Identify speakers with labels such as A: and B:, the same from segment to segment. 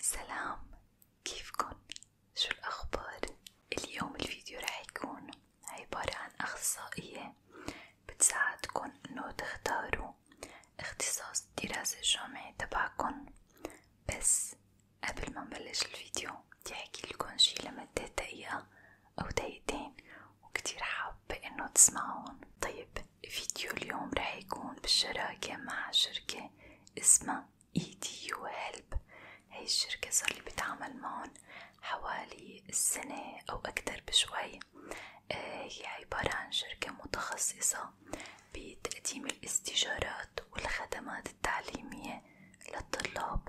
A: سلام كيفكن؟ شو الأخبار؟ اليوم الفيديو رح يكون عبارة عن أخصائية بتساعدكن إنو تختاروا اختصاص الدراسة الجامعي تبعكن بس قبل ما نبلش الفيديو بدي أحكيلكن شي لمدة دقيقة أو دقيقتين وكتير حابة إنو تسمعون طيب فيديو اليوم رح يكون بالشراكة مع شركة اسمها ايدي يو هيلب هاي الشركة صار لي بتعامل معهم حوالي السنة أو أكتر بشوي آه، هي عبارة عن شركة متخصصة بتقديم الاستشارات والخدمات التعليمية للطلاب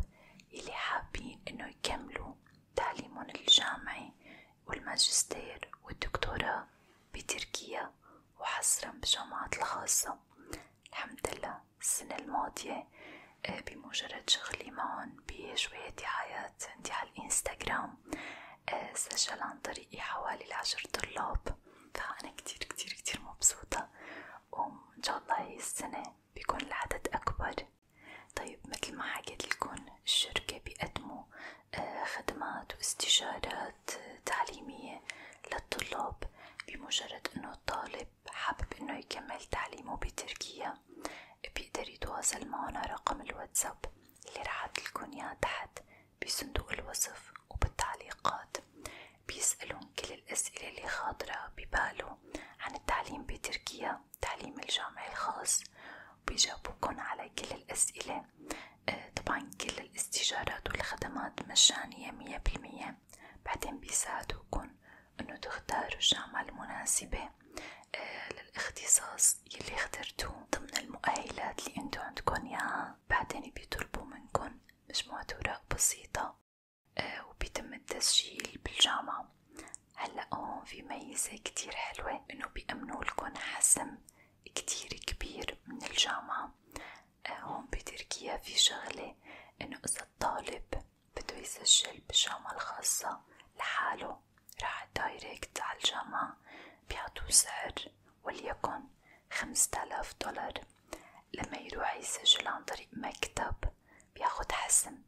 A: اللي حابين إنه يكملوا تعليمهم الجامعي والماجستير والدكتوراه بتركيا وحصرا بالجامعات الخاصة الحمد لله السنة الماضية آه، بمجرد شغلي معهم بشوية دعايات عندي على الانستغرام آه، سجل عن طريقي حوالي العشر طلاب فأنا كتير كتير كتير مبسوطة وإن شاء الله هي السنة بيكون العدد أكبر طيب مثل ما حكيت لكم الشركة بيقدموا آه، خدمات واستشارات جلسات تعليمية للطلاب بمجرد انه الطالب حابب انه يكمل تعليمه بتركيا بيقدر يتواصل معنا رقم الواتساب اللي راح لكم اياه تحت بصندوق الوصف وبالتعليقات بيسألون كل الأسئلة اللي خاطرة بباله عن التعليم بتركيا تعليم الجامعي الخاص بيجاوبوكن على كل الأسئلة طبعا كل الاستشارات والخدمات مجانية مية بالمية بعدين بيساعدوكن انو تختاروا الجامعة المناسبة آه، للاختصاص يلي اخترتوه ضمن المؤهلات اللي انتو عندكن ياها بعدين بيطلبوا منكن مجموعة اوراق بسيطة آه، وبيتم التسجيل بالجامعة هلا هون في ميزة كتير حلوة انو بيأمنولكن حسم كتير كبير من الجامعة آه، هون بتركيا في شغلة إنه إذا الطالب بده يسجل بالجامعة الخاصة لحاله راح دايركت على الجامعة بيعطوه سعر وليكن خمسة آلاف دولار لما يروح يسجل عن طريق مكتب بياخد حسم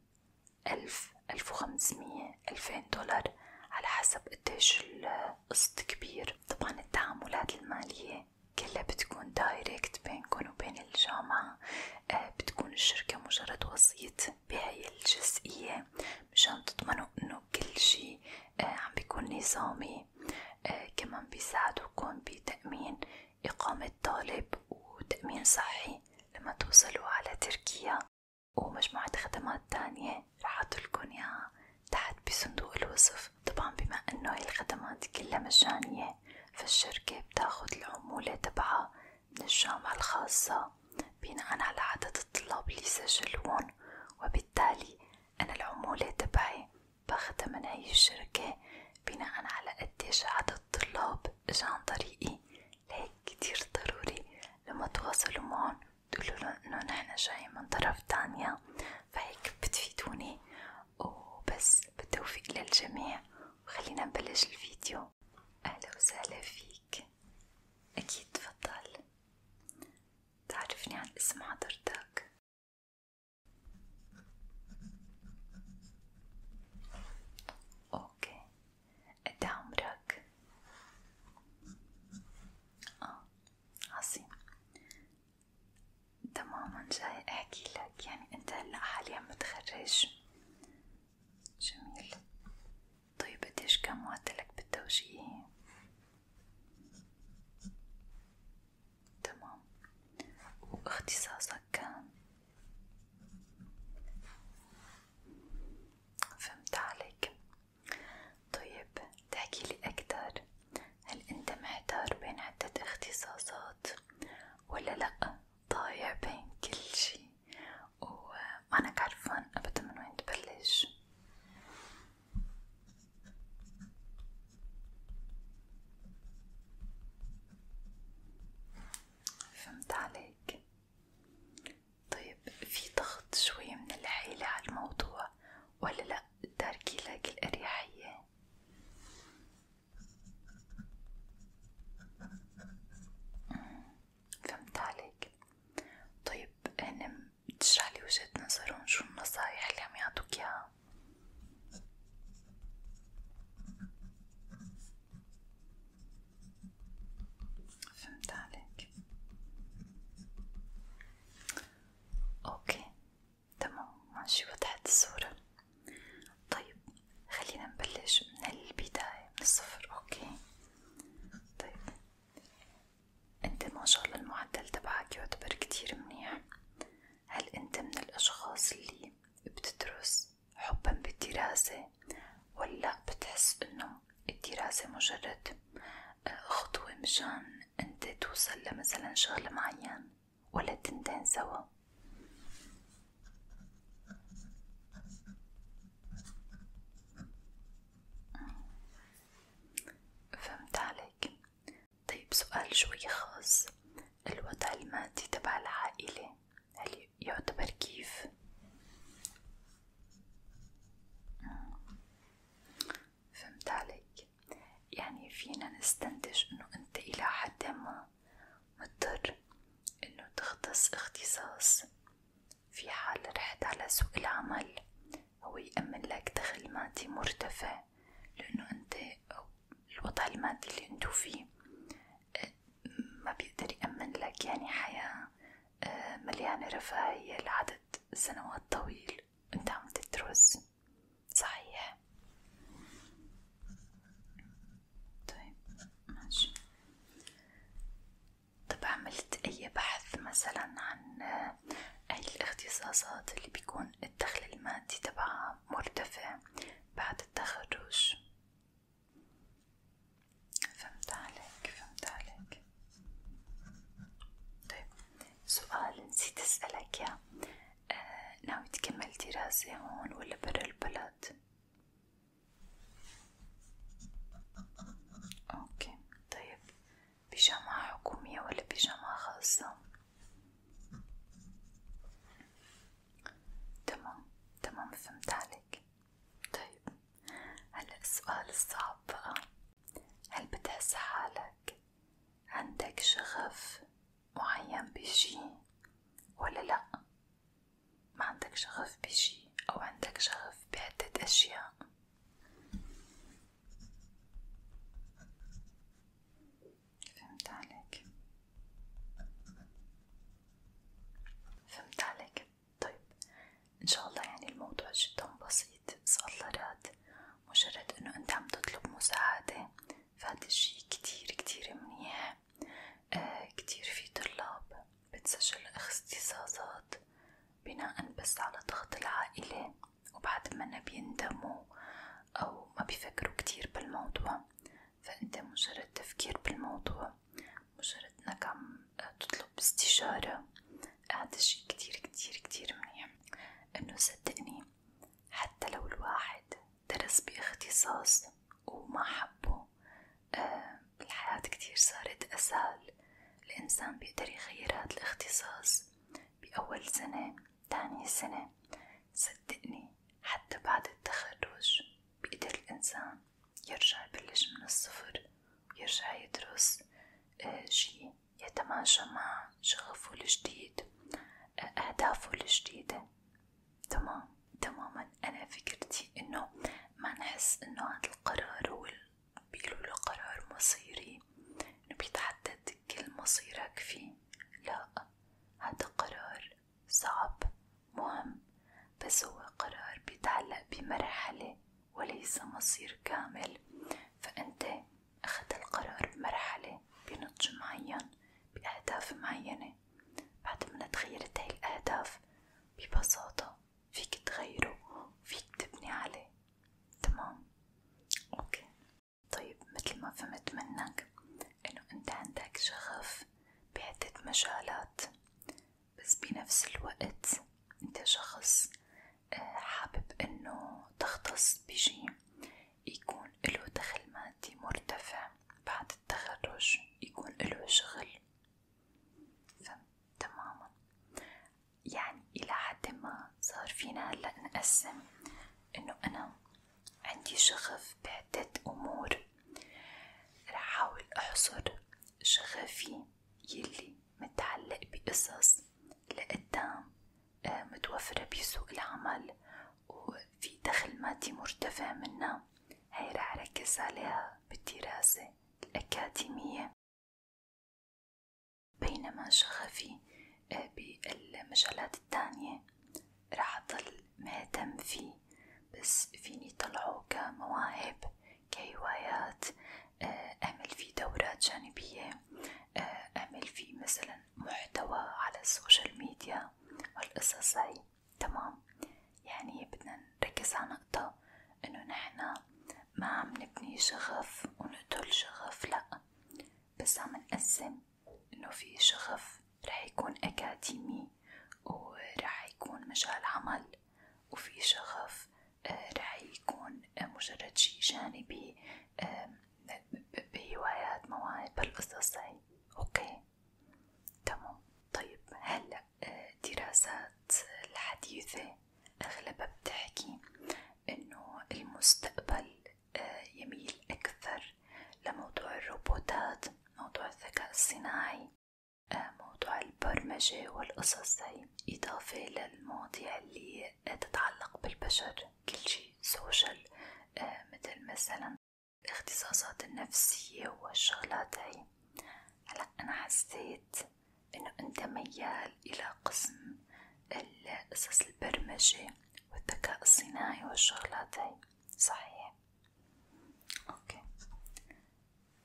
A: ألف ألف وخمسمية ألفين دولار على حسب قديش ال قسط كبير طبعا التعاملات المالية كلها بتكون دايركت بينكم وبين الجامعة آه، بتكون الشركة مجرد وسيط بهاي الجزئية مشان تضمنوا انه كل شي آه، عم بيكون نظامي آه، كمان بيساعدوكم بتأمين إقامة طالب وتأمين صحي لما توصلوا على تركيا ومجموعة خدمات تانية رح أتركن ياها تحت بصندوق الوصف طبعا بما انه هاي الخدمات كلها مجانية فالشركة بتاخد العمولة تبعها من الجامعة الخاصة بناء على عدد الطلاب اللي سجلوهن وبالتالي أنا العمولة تبعي باخدها من هاي الشركة بناء على قديش عدد الطلاب اجا عن طريقي لهيك كتير ضروري لما تواصلوا معهم تقولولن إنه نحن جاي من طرف تانية فهيك بتفيدوني وبس بالتوفيق للجميع وخلينا نبلش الفيديو أهلا وسهلا فيك أكيد تفضل تعرفني عن اسم حضرتك اوكي قد عمرك؟ اه عظيم تماما جاي احكي لك يعني انت هلا حاليا متخرج جميل طيب قديش كان معدلك بالتوجيهي تمام واختصاصك كان فهمت عليك طيب تحكيلي أكتر هل أنت محتار بين عدة اختصاصات ولا لأ ضايع بين كل شي ومانك عرفان أبدا من وين تبلش؟ فهمت عليك طيب في ضغط شوي من العيلة على الموضوع ولا لأ تاركي لك الأريحية فهمت عليك طيب هن تشرح لي وجهة نظرهم شو النصايح اللي عم يعطوك اياها فهمت عليك اوكي تمام ماشي وضحت الصورة طيب خلينا نبلش من البداية من الصفر اوكي طيب انت ما شاء الله المعدل تبعك يعتبر كتير منيح هل انت من الاشخاص اللي بتدرس حبا بالدراسة ولا بتحس انه الدراسة مجرد آه، خطوة مشان انت توصل لمثلا شغل معين ولا تنتين سوا فهمت عليك طيب سؤال شوي خاص الوضع المادي تبع العائلة هل يعتبر كيف فهمت عليك يعني فينا نستنتج انه انت الى حد ما مضطر انه تختص اختصاص في حال رحت على سوق العمل هو يأمن لك دخل مادي مرتفع لأنه أنت الوضع المادي اللي أنتو فيه آه، ما بيقدر يأمن لك يعني حياة مليانة رفاهية لعدد سنوات طويل انت عم تدرس صحيح طيب ماشي طب عملت اي بحث مثلا عن اي الاختصاصات اللي بيكون الدخل المادي تبعها مرتفع بعد التخرج فهمت عليك فهمت عليك طيب سؤال نسيت أسألك يا آه، ناوي تكمل دراسة هون ولا برا البلد؟ اوكي طيب بجامعة حكومية ولا بجامعة خاصة؟ تمام تمام فهمت عليك طيب هلا السؤال الصعب بقى هل بتحس حالك عندك شغف معين بشي ولا لأ؟ ما عندك شغف بشي أو عندك شغف بعدة أشياء فهمت عليك فهمت عليك طيب ان شاء الله يعني الموضوع جدا بسيط صغرات مجرد انه انت عم تطلب مساعدة فهذا الشي كتير كتير منيح آه كتير في طلاب بتسجل اختصاصات بناء بس على ضغط العائلة وبعد ما أنا بيندموا أو ما بيفكروا كتير بالموضوع فأنت مجرد تفكير بالموضوع مجرد نكم تطلب استشارة هذا شي كتير كتير كتير منيح انه صدقني حتى لو الواحد درس باختصاص وما حبه آه الحياة كتير صارت أسهل الإنسان بيقدر يغير هاد الاختصاص بأول سنة تاني سنة صدقني حتى بعد التخرج بيقدر الإنسان يرجع يبلش من الصفر ويرجع يدرس آه، شي يتماشى مع شغفه الجديد آه، أهدافه الجديدة تمام تماما أنا فكرتي إنه ما نحس إنه هذا القرار هو بيقولوا له قرار مصيري إنه بيتحدد كل مصيرك فيه لا هذا قرار صعب مهم بس هو قرار بيتعلق بمرحلة وليس مصير كامل فأنت أخذت القرار بمرحلة بنضج معين بأهداف معينة بعد ما تغيرت هاي الأهداف ببساطة فيك تغيره وفيك تبني عليه تمام أوكي طيب مثل ما فهمت منك إنه أنت عندك شغف بعدة مجالات بس بنفس الوقت انت شخص آه، حابب انه تختص بشي يكون له دخل مادي مرتفع بعد التخرج يكون له شغل تماما يعني إلى حد ما صار فينا هلا نقسم إنه أنا عندي شغف بعدة أمور رح أحاول أحصر شغفي يلي متعلق بقصص لقدام آه، متوفرة بسوق العمل وفي دخل مادي مرتفع منها هاي رح ركز عليها بالدراسة الأكاديمية بينما شغفي آه، بالمجالات التانية راح أضل مهتم فيه بس فيني طلعه كمواهب كهوايات آه، أعمل فيه دورات جانبية آه، أعمل فيه مثلا محتوى على السوشيال ميديا والقصص هاي تمام يعني بدنا نركز على نقطة إنه نحنا ما عم نبني شغف ونقتل شغف لأ بس عم نقسم إنه في شغف رح يكون أكاديمي ورح يكون مجال عمل وفي شغف آه، رح يكون مجرد شي جانبي بهوايات مواهب بالقصص هاي اوكي تمام طيب هلا الدراسات آه، الحديثة أغلبها بتحكي إنه المستقبل آه، يميل أكثر لموضوع الروبوتات موضوع الذكاء الصناعي موضوع البرمجة والقصص هاي إضافة للمواضيع اللي تتعلق بالبشر كل شي سوشيال آه، مثل مثلا الاختصاصات النفسية والشغلات هاي هلا أنا حسيت إنه أنت ميال إلى قسم قصص البرمجة والذكاء الصناعي والشغلات هاي صحيح اوكي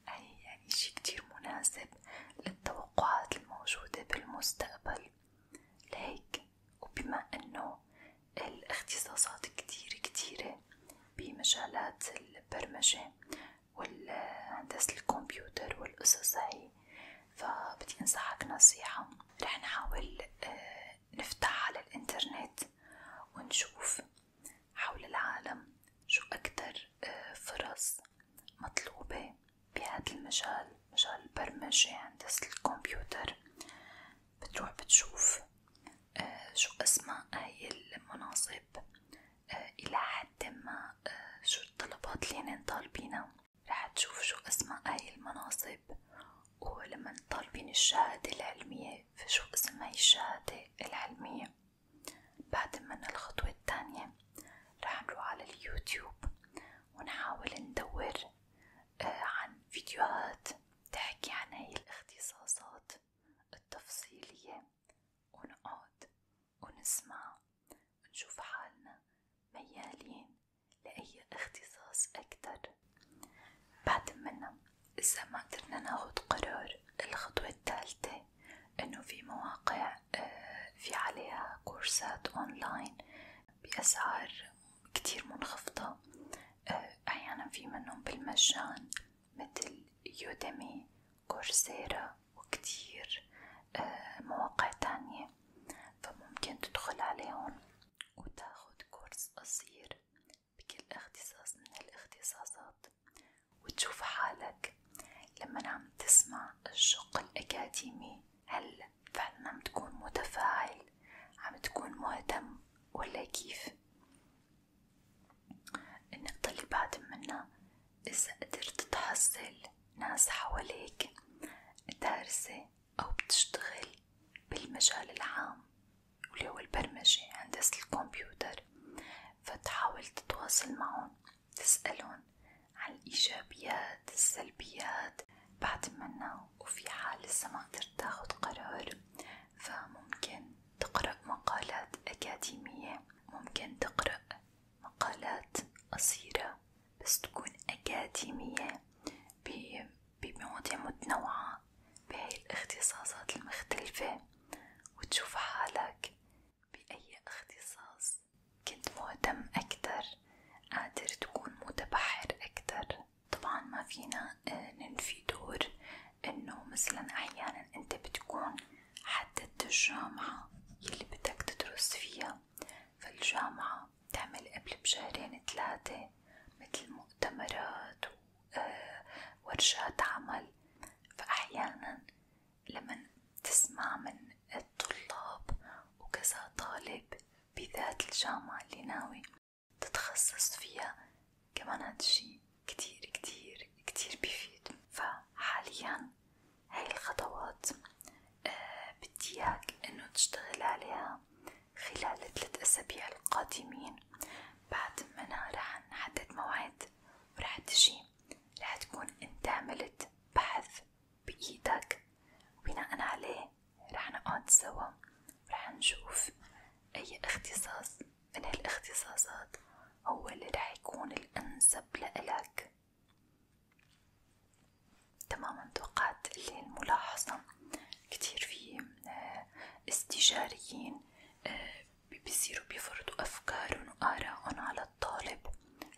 A: هي يعني شي كتير مناسب للتوقعات الموجودة بالمستقبل لهيك وبما انه الاختصاصات كتير كتيرة بمجالات البرمجة والهندسة الكمبيوتر والقصص هاي فبدي انصحك نصيحة رح نحاول آه، نفتح على الانترنت ونشوف حول العالم شو أكتر آه، فرص مطلوبة بهذا المجال مجال البرمجة هندسة يعني الكمبيوتر بتروح بتشوف آه، شو أسماء هاي المناصب آه، إلى حد ما شو الطلبات اللي هن طالبينها رح تشوف شو أسماء هاي المناصب ولما طالبين الشهادة العلمية في اسم هاي الشهادة العلمية بعد من الخطوة الثانية رح نروح على اليوتيوب ونحاول ندور آه، عن فيديوهات تحكي عن هاي الاختصاصات التفصيلية ونقعد ونسمع ونشوف حالنا ميالين لأي اختصاص أكتر بعد منا إذا ما قدرنا ناخد قرار الخطوة الثالثة إنه في مواقع آه، في عليها كورسات أونلاين بأسعار كتير منخفضة آه، أحيانا في منهم بالمجان مثل يوديمي كورسيرا وكتير آه، مواقع تانية فممكن تدخل عليهم وتاخد كورس قصير بكل اختصاص من الاختصاصات وتشوف حالك لما عم تسمع الشق الأكاديمي هل فعلا عم تكون متفاعل عم تكون مهتم ولا كيف النقطة اللي بعد منا إذا قدرت تحصل ناس حواليك دارسة أو بتشتغل بالمجال العام واللي هو البرمجة هندسة الكمبيوتر فتحاول تتواصل معهم تسألهم عن الإيجابيات السلبيات بعد منا وفي حال لسه ما قدرت تاخد قرار فممكن تقرأ مقالات أكاديمية ممكن تقرأ مقالات قصيرة بس تكون أكاديمية بمواضيع متنوعة بهاي الاختصاصات المختلفة وتشوف حالك بأي اختصاص كنت مهتم أكتر قادر تكون متبحر أكتر طبعا ما فينا آه، ننفي دور إنه مثلا أحيانا أنت بتكون حددت الجامعة يلي بدك تدرس فيها فالجامعة بتعمل قبل بشهرين تلاتة متل مؤتمرات آه، ورشات عمل فأحيانا لمن تسمع من الطلاب وكذا طالب بذات الجامعة اللي ناوي تتخصص فيها كمان هاد الشي كتير كتير كتير بيفيد فحاليا هاي الخطوات آه، بدي اياك انه تشتغل عليها خلال الثلاث أسابيع القادمين بعد منها رح نحدد موعد ورح تجي رح تكون انت عملت بحث بإيدك وبناء عليه رح نقعد سوا ورح نشوف أي اختصاص من هالاختصاصات هو اللي رح يكون الأنسب لإلك تماما توقعت اللي الملاحظة كتير في آه، استشاريين آه، بيصيروا بيفرضوا أفكارهم وآرائهم على الطالب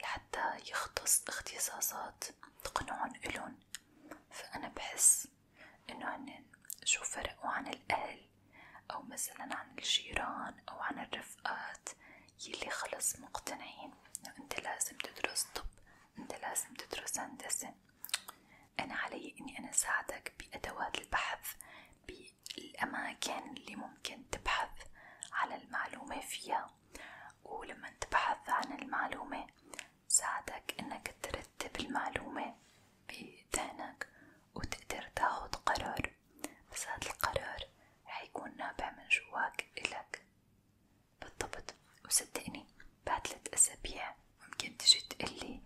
A: لحتى يختص اختصاصات تقنعهم إلهم فأنا بحس إنه هن شو فرقوا عن الأهل أو مثلا عن الجيران أو عن الرفقات يلي خلص مقتنعين إنه أنت لازم تدرس طب أنت لازم تدرس هندسة أنا علي إني أنا أساعدك بأدوات البحث بالأماكن اللي ممكن تبحث على المعلومة فيها ولما تبحث عن المعلومة ساعدك إنك ترتب المعلومة بذهنك وتقدر تاخد قرار بس هاد القرار حيكون نابع من جواك إلك بالضبط وصدقني بعد ثلاث أسابيع ممكن تجي تقلي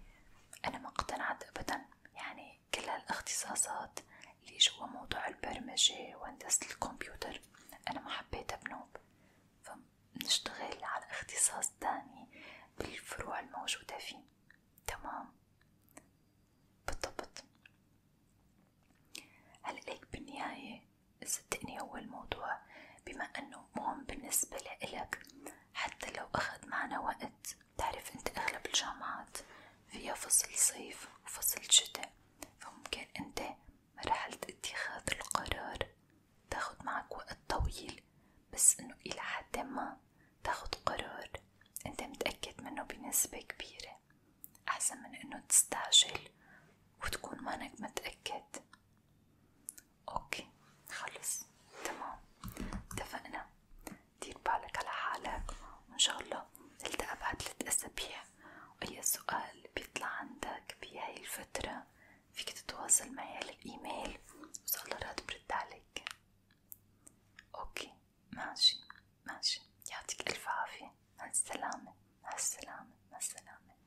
A: أنا ما اقتنعت أبدا يعني كل هالاختصاصات اللي جوا موضوع البرمجة وهندسة الكمبيوتر أنا ما حبيتها بنوب فبنشتغل على اختصاص تاني بالفروع الموجودة فيه تمام بالضبط هلا ليك بالنهاية صدقني هو الموضوع بما أنه مهم بالنسبة لإلك حتى لو أخذ معنا وقت تعرف أنت أغلب الجامعات فيها فصل صيف وفصل شتاء فممكن أنت مرحلة اتخاذ القرار تاخد معك وقت طويل بس إنه إلى حد ما تاخد قرار أنت متأكد منه بنسبة كبيرة أحسن من إنه تستعجل وتكون مانك متأكد اوكي خلص تمام اتفقنا دير بالك على حالك وان شاء الله نلتقى بعد ثلاث اسابيع واي سؤال بيطلع عندك بهاي الفترة فيك تتواصل معي على الايميل وان شاء الله راد برد عليك اوكي ماشي ماشي يعطيك الف عافية مع السلامة مع السلامة مع السلامة